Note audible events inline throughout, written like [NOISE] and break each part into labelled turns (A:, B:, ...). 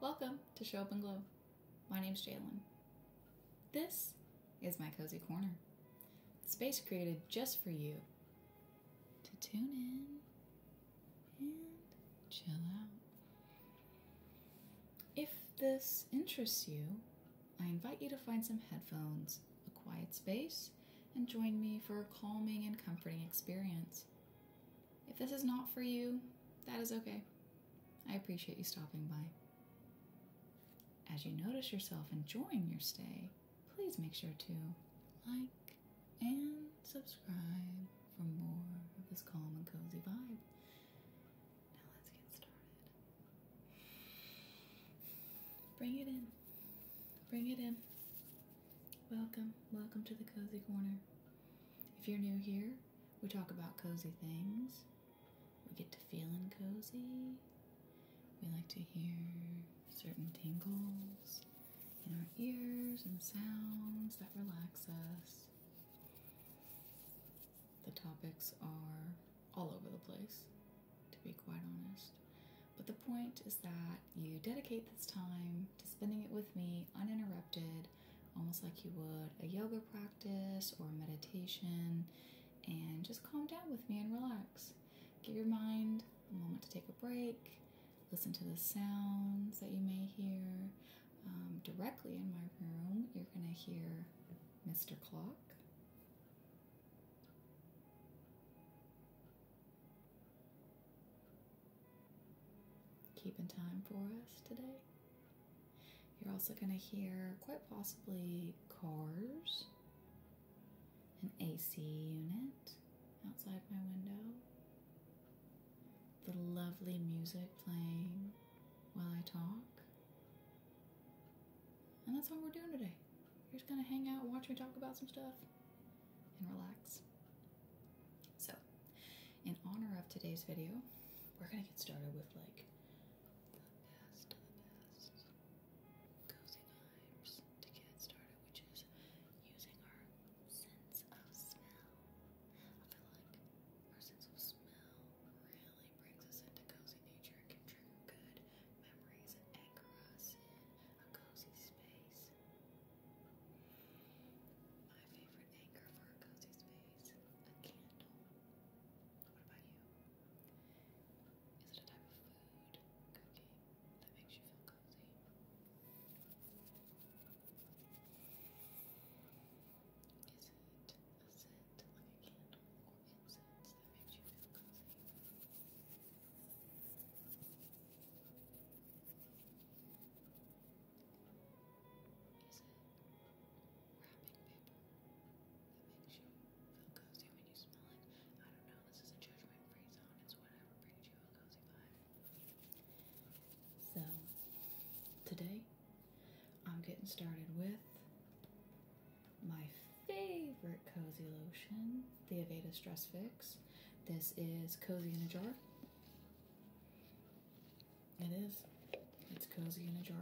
A: Welcome to Show Up and Glow. My name is Jalen. This is my cozy corner, space created just for you to tune in and chill out. If this interests you, I invite you to find some headphones, a quiet space, and join me for a calming and comforting experience. If this is not for you, that is okay. I appreciate you stopping by. As you notice yourself enjoying your stay, please make sure to like and subscribe for more of this calm and cozy vibe. Now let's get started. Bring it in. Bring it in. Welcome, welcome to the Cozy Corner. If you're new here, we talk about cozy things. We get to feeling cozy. We like to hear certain tingles in our ears and sounds that relax us. The topics are all over the place, to be quite honest. But the point is that you dedicate this time to spending it with me uninterrupted, almost like you would a yoga practice or meditation, and just calm down with me and relax. Give your mind a moment to take a break, listen to the sounds that you may hear, um, directly in my room, you're going to hear Mr. Clock. Keeping time for us today. You're also going to hear quite possibly cars, an AC unit outside my window, the lovely music playing while I talk. And that's all we're doing today. You're just gonna hang out, watch me talk about some stuff, and relax. So, in honor of today's video, we're gonna get started with like the best of the best cozy times to get started, which is using our sense of smell. I feel like our sense of smell really brings us into cozy nature and can trigger good memories and anchor us in a cozy space. My favorite anchor for a cozy space, a candle. What about you? Is it a type of food, cooking, that makes you feel cozy? Is it a scent like candle or incense that makes you feel cozy? Is it wrapping paper that makes you feel cozy when you smell it? I don't know, this is a judgment free zone, it's whatever brings you a cozy vibe. So, today I'm getting started with my favorite cozy lotion, the Aveda Stress Fix. This is Cozy in a Jar. It is. It's cozy in a jar.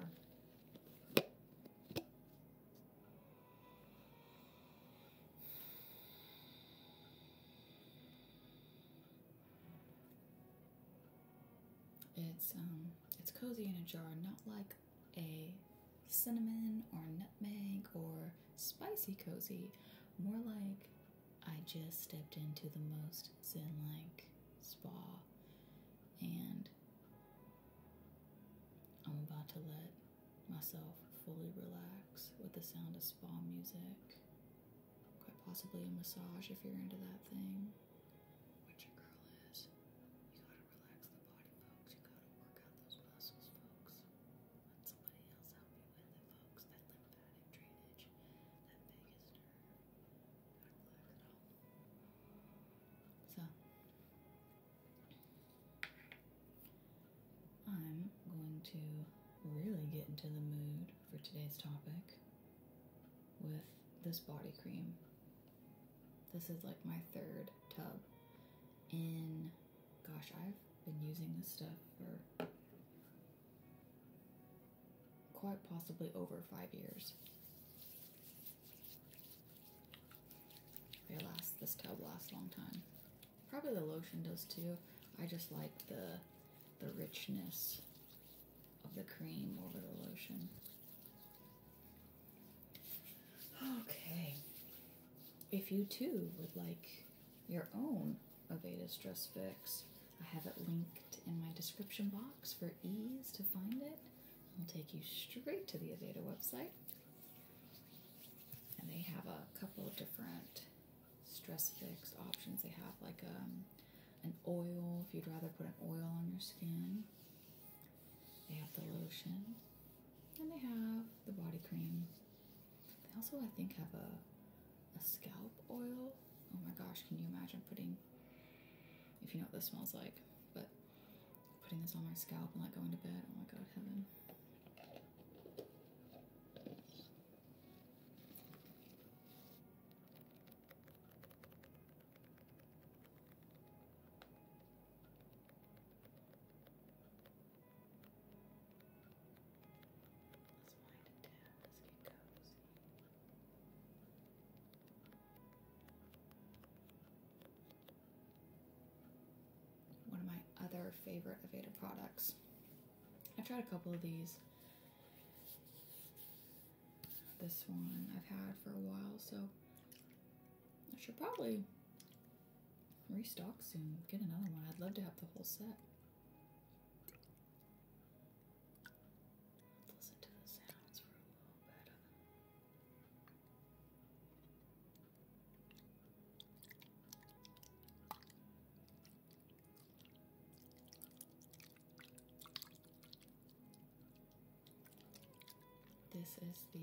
A: It's um it's cozy in a jar, not like a cinnamon or nutmeg or spicy cozy, more like I just stepped into the most zen-like spa and I'm about to let myself fully relax with the sound of spa music quite possibly a massage if you're into that thing. Which your girl is. You gotta relax the body, folks. You gotta work out those muscles, folks. Let somebody else help you with it, folks. That lymphatic drainage, that vagus nerve. So, I'm going to really get into the mood for today's topic with this body cream. This is like my third tub in, gosh, I've been using this stuff for quite possibly over five years. They last, this tub lasts a long time. Probably the lotion does too. I just like the the richness of the cream over the lotion. Okay. If you too would like your own Aveda Stress Fix, I have it linked in my description box for ease to find it. It'll take you straight to the Aveda website. And they have a couple of different stress fix options. They have like um, an oil if you'd rather put an oil on your skin. They have the lotion and they have the body cream. They also, I think, have a a scalp oil. Oh my gosh, can you imagine putting if you know what this smells like, but putting this on my scalp and not going to bed. Oh my god, heaven. Let's wind it down. Let's get cozy. One of my other favorite Aveda products. I've tried a couple of these. This one I've had for a while, so I should probably restock soon. Get another one. I'd love to have the whole set. This is the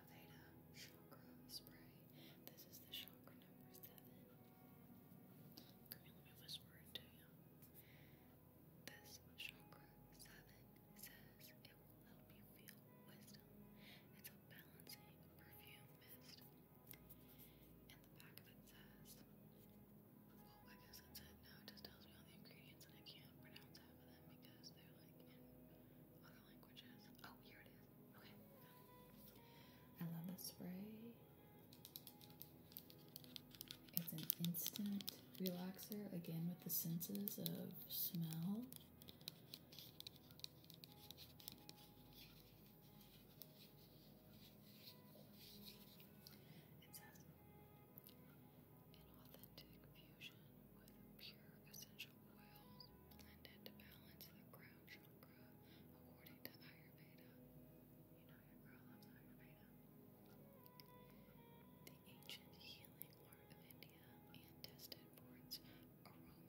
A: Aveda Chakra Spray. This is the chakra number seven. Come here, let me whisper it to you. This chakra seven says it will help you feel wisdom. It's a balancing perfume mist and the back of it says, well, I guess that's it. Now it just tells me all the ingredients, and I can't pronounce half of them because they're like in other languages. Oh, here it is. Okay, I love this spray. It's an instant relaxer, again with the senses of smell. It says an authentic fusion with pure essential oils blended to balance the crown chakra according to Ayurveda. You know your girl loves Ayurveda. The ancient healing art of India and tested for its aroma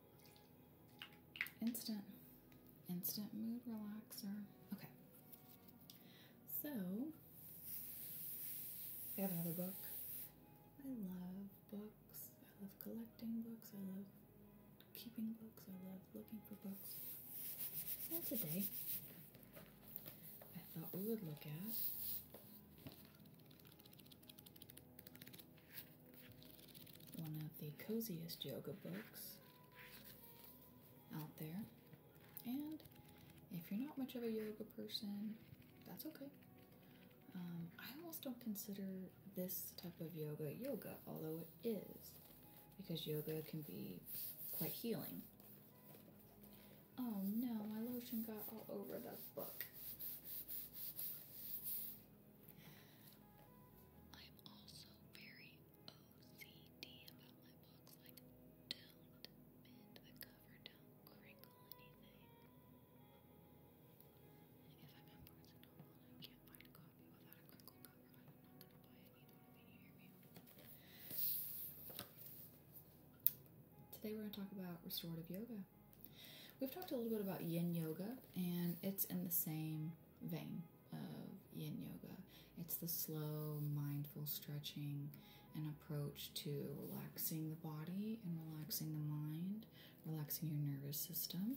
A: Instant, instant mood relaxer. Okay. So, I have another book. I love books. I love collecting books. I love keeping books. I love looking for books. And today, I thought we would look at one of the coziest yoga books out there. And if you're not much of a yoga person, that's okay. Um, I almost don't consider this type of yoga yoga, although it is, because yoga can be quite healing. Oh no, my lotion got all over the book. I'm also very OCD about my books. Like, don't bend the cover, don't crinkle anything. If I'm in Barnes and Noble and I can't find a copy without a crinkle cover, I'm not gonna buy it. You know what I mean? You hear me? Today we're going to talk about restorative yoga. We've talked a little bit about yin yoga, and it's in the same vein of yin yoga. It's the slow, mindful stretching and approach to relaxing the body and relaxing the mind, relaxing your nervous system.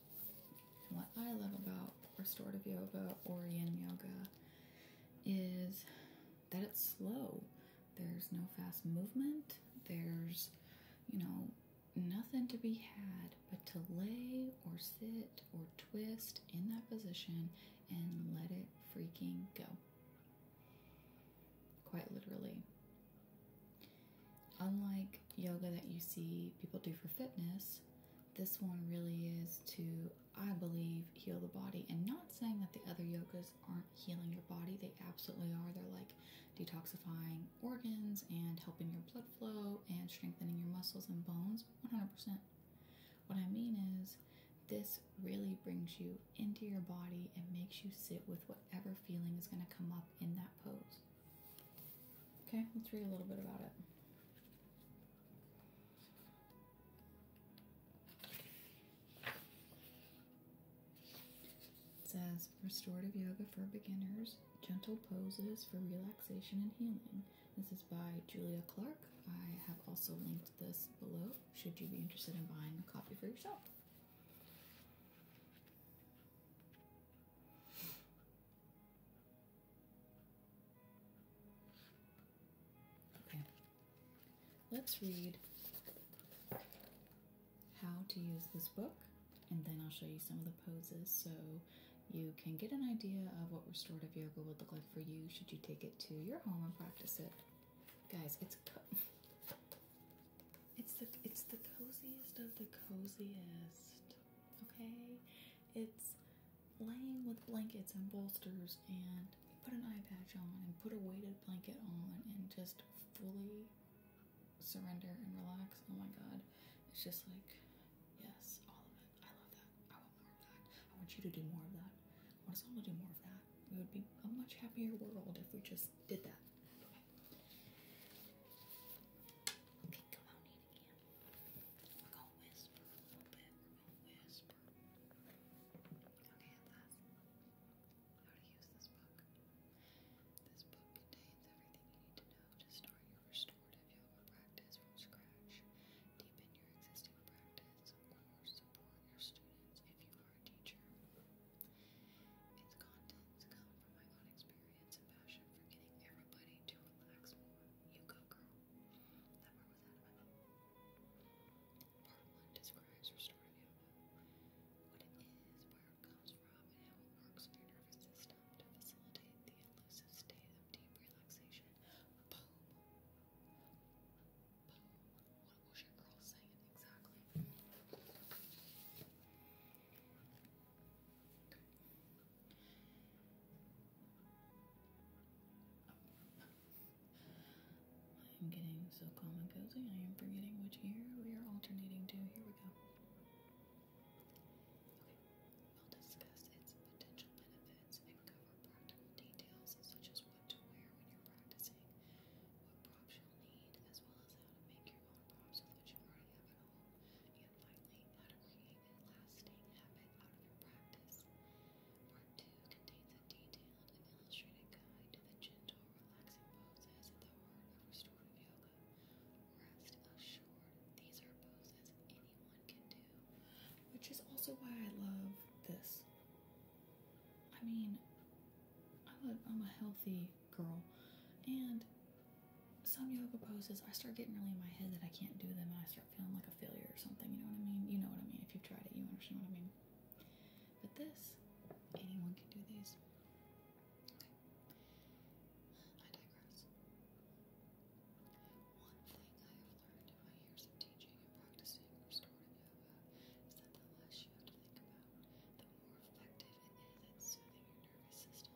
A: what I love about restorative yoga or yin yoga is that it's slow. There's no fast movement. There's, you know, nothing to be had but to lay or sit or twist in that position and let it freaking go. Quite literally. Unlike yoga that you see people do for fitness, this one really is to, I believe, heal the body. And not saying that the other yogas aren't healing your body, they absolutely are. They're like detoxifying organs and helping your blood flow and strengthening your muscles and bones 100%. What I mean is, this really brings you into your body and makes you sit with whatever feeling is going to come up in that pose. Okay, let's read a little bit about it. It says Restorative Yoga for Beginners, Gentle Poses for Relaxation and Healing. This is by Julia Clark. I have also linked this below should you be interested in buying a copy for yourself. Okay, let's read how to use this book and then I'll show you some of the poses so you can get an idea of what restorative yoga would look like for you should you take it to your home and practice it. Guys, it's it's the it's the coziest of the coziest. Okay? It's laying with blankets and bolsters and put an eye patch on and put a weighted blanket on and just fully surrender and relax. Oh my god. It's just like, yes, all of it. I love that. I want more of that. I want you to do more of that. I want us all to do more of that. It would be a much happier world if we just did that. Okay again. Okay, and how to use this book. This book contains everything you need to know to start your restorative yoga practice from scratch, deepen your existing practice, or support your students if you are a teacher. Its contents come from my own experience passion for getting everybody to relax more. You go, girl. part one describes restorative yoga, what it is, where it comes from, and how it works in your nervous system to facilitate the elusive state of deep relaxation. What was your girl saying exactly? I am getting so calm and cozy, I am forgetting which year we are alternating to. Here we go. Okay, we'll discuss its potential benefits and cover practical details such as what to wear when you're practicing, what props you'll need, as well as how to make your own props with you already have at home finally, how to create a lasting habit out of your practice. Part 2 contains a detailed and illustrated guide to the gentle, relaxing poses at the heart of restorative yoga. Rest assured, these are poses anyone can do, which is also why I love this. I mean, i I'm a healthy girl, and some yoga poses, I start getting really in my head that I can't do them and I start feeling like a failure or something. You know what I mean? You know what I mean. If you've tried it, you understand what I mean. But this, anyone can do these. Okay. I digress. One thing I have learned in my years of teaching and practicing restorative yoga is that the less you have to think about, the more effective it is at soothing your nervous system.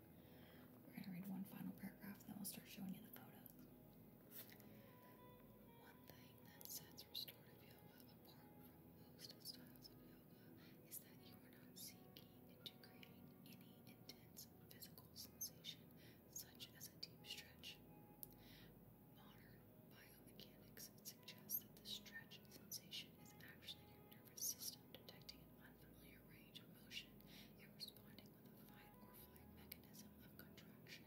A: We're going to read one final paragraph, and then we'll start showing you the photos. One thing that sets restorative yoga apart from most styles of yoga is that you are not seeking to create any intense physical sensation, such as a deep stretch. Modern biomechanics suggests that the stretch sensation is actually your nervous system detecting an unfamiliar range of motion and responding with a fight or flight mechanism of contraction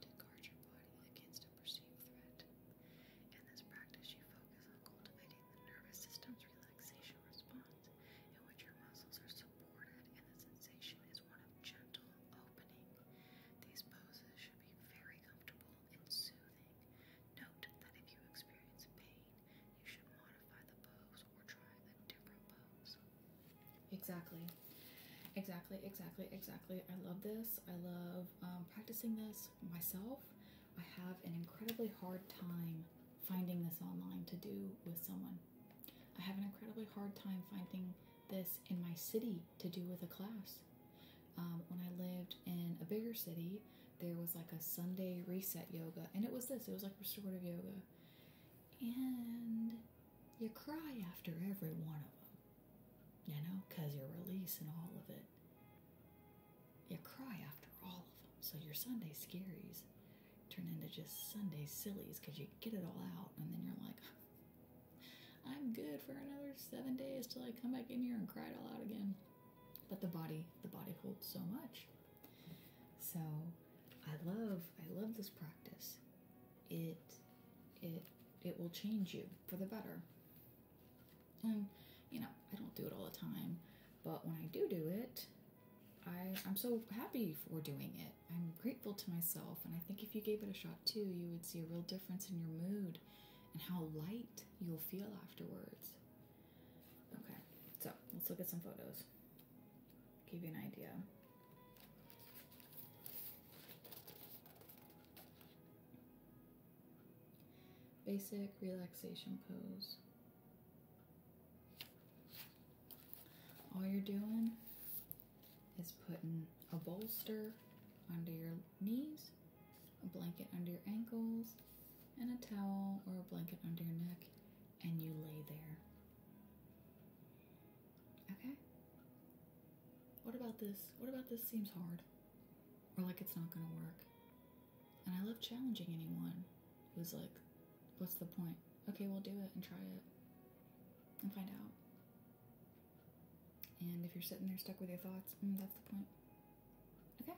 A: to guard your body against a perceived threat. In this practice, you focus on cultivating the nervous system's relaxation response, in which your muscles are supported and the sensation is one of gentle opening. These poses should be very comfortable and soothing. Note that if you experience pain, Exactly. Exactly, exactly, exactly. I love this. I love um, practicing this myself. I have an incredibly hard time finding this online to do with someone. I have an incredibly hard time finding this in my city to do with a class. Um, when I lived in a bigger city, there was like a Sunday reset yoga, and it was this it was like restorative yoga, and you cry after every one of them, you know, because you're releasing all of it. You cry after all of them, so your Sunday scaries turn into just Sunday sillies because you get it all out, and then you're like, [LAUGHS] I'm good for another seven days till I come back in here and cry it all out again. But the body, the body holds so much. So I love I love this practice. It it it will change you for the better. And you know, I don't do it all the time, but when I do do it, I, I'm so happy for doing it. I'm grateful to myself, and I think if you gave it a shot too, you would see a real difference in your mood and how light you'll feel afterwards. Okay, so let's look at some photos. Give you an idea. Basic relaxation pose. All you're doing is putting a bolster under your knees, a blanket under your ankles, and a towel or a blanket under your neck and you lay there. Okay? What about this? What about this seems hard? Or like it's not gonna work? And I love challenging anyone who's like, what's the point? Okay, we'll do it and try it and find out. And if you're sitting there stuck with your thoughts, mm, that's the point. Okay.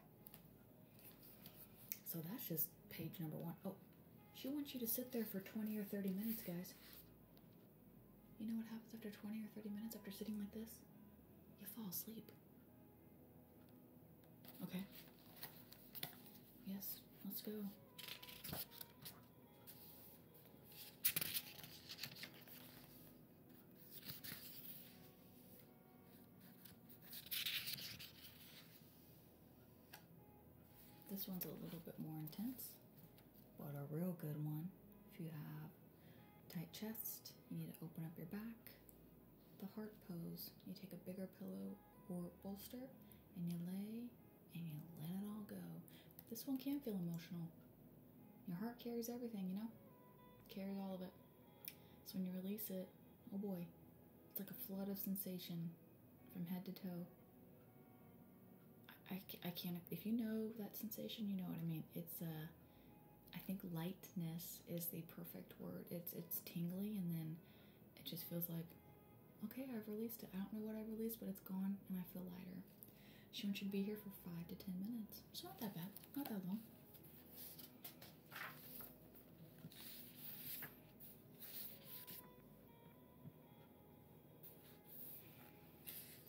A: So that's just page number one. Oh, she wants you to sit there for 20 or 30 minutes, guys. You know what happens after 20 or 30 minutes after sitting like this? You fall asleep. Okay. Yes, let's go. This one's a little bit more intense, but a real good one. If you have tight chest, you need to open up your back. The heart pose, you take a bigger pillow or bolster and you lay and you let it all go. this one can feel emotional. Your heart carries everything, you know? It carries all of it. So when you release it, Oh boy, it's like a flood of sensation from head to toe. I, I, can't, if you know that sensation, you know what I mean. It's, a, uh, I think lightness is the perfect word. It's, it's tingly and then it just feels like, okay, I've released it. I don't know what I released, but it's gone and I feel lighter. She wants you to be here for five to 10 minutes. It's not that bad, not that long.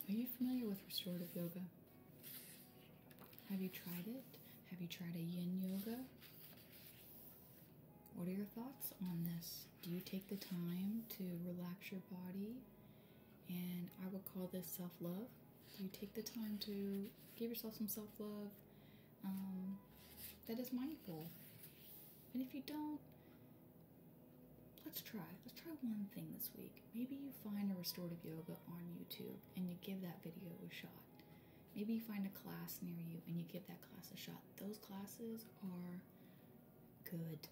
A: Are you familiar with restorative yoga? Have you tried it? Have you tried a yin yoga? What are your thoughts on this? Do you take the time to relax your body? And I would call this self love. Do you take the time to give yourself some self love? um, that is mindful. And if you don't, let's try. Let's try one thing this week. Maybe you find a restorative yoga on YouTube and you give that video a shot. Maybe you find a class near you and you give that class a shot. Those classes are good.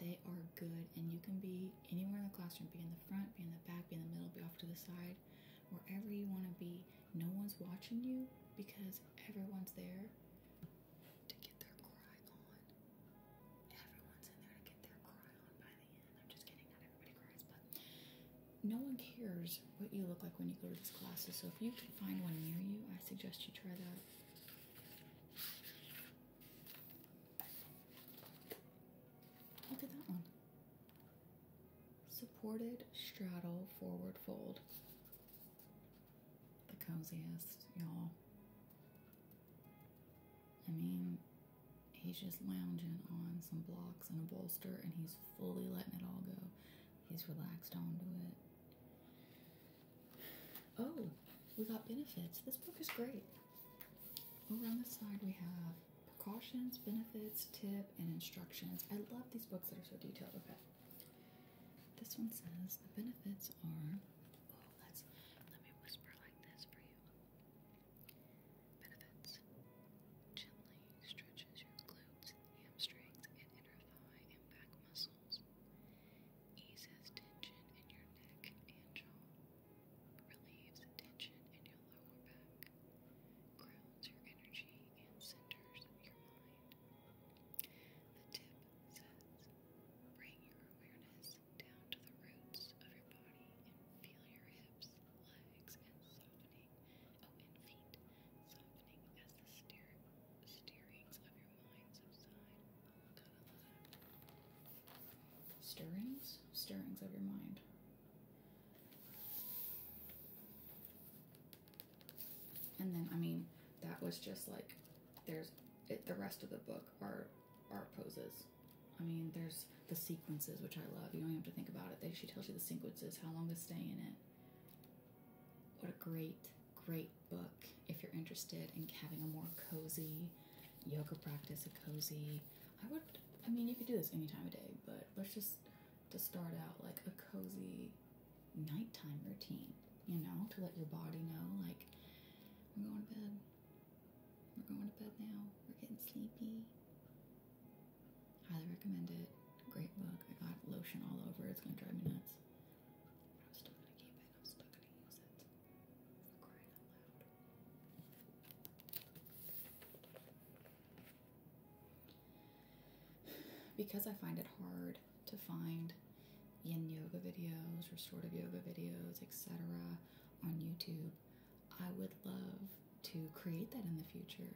A: They are good, and you can be anywhere in the classroom be in the front, be in the back, be in the middle, be off to the side wherever you want to be. No one's watching you because everyone's there to get their cry on. Everyone's in there to get their cry on by the end. I'm just kidding, not everybody cries, but no one cares what you look like when you go to these classes. So if you can find one near you, I suggest you try that. Look at that one supported straddle forward fold. The coziest, y'all. I mean, he's just lounging on some blocks and a bolster, and he's fully letting it all go. He's relaxed onto it. Oh, we got benefits. This book is great. Over on this side, we have precautions, benefits, tip, and instructions. I love these books that are so detailed. Okay. This one says the benefits are. Oh, let's let me whisper like this for you. Benefits gently stretches your glutes, hamstrings, and inner thigh and back muscles. Eases tension in your neck and jaw. Relieves tension in your lower back grounds your energy and centers your mind. The tip says bring your awareness down to the roots of your body and feel your hips, legs, and softening, oh, feet softening as the steer, steerings of your mind subside. Stirrings? Stirrings of your mind. And then, I mean, that was just like, there's the rest of the book are are poses. I mean, there's the sequences, which I love. You don't have to think about it. They, actually tells you the sequences, how long to stay in it. What a great, great book if you're interested in having a more cozy yoga practice, a cozy. I would, I mean, you could do this any time of day, but let's just to start out like a cozy nighttime routine, you know, to let your body know like I'm going to bed. We're going to bed now. We're getting sleepy. Highly recommend it. Great book. I got lotion all over. It's gonna drive me nuts. But I'm still gonna keep it. I'm still gonna use it. crying out loud because I find it hard to find yin yoga videos, restorative yoga videos, etc., on YouTube, I would love to create that in the future.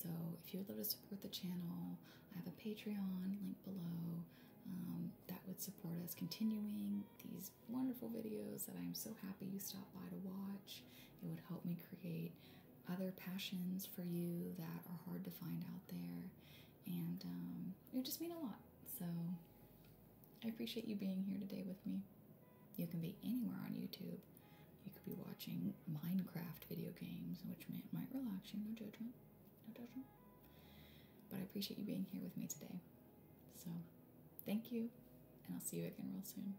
A: So, if you would love to support the channel, I have a Patreon link below um, that would support us continuing these wonderful videos that I'm so happy you stopped by to watch. It would help me create other passions for you that are hard to find out there. And um, it would just mean a lot. So I appreciate you being here today with me. You can be anywhere on YouTube. You could be watching Minecraft video games, which might relax you, no judgment. No judgment. But I appreciate you being here with me today. So Thank you, and I'll see you again real soon.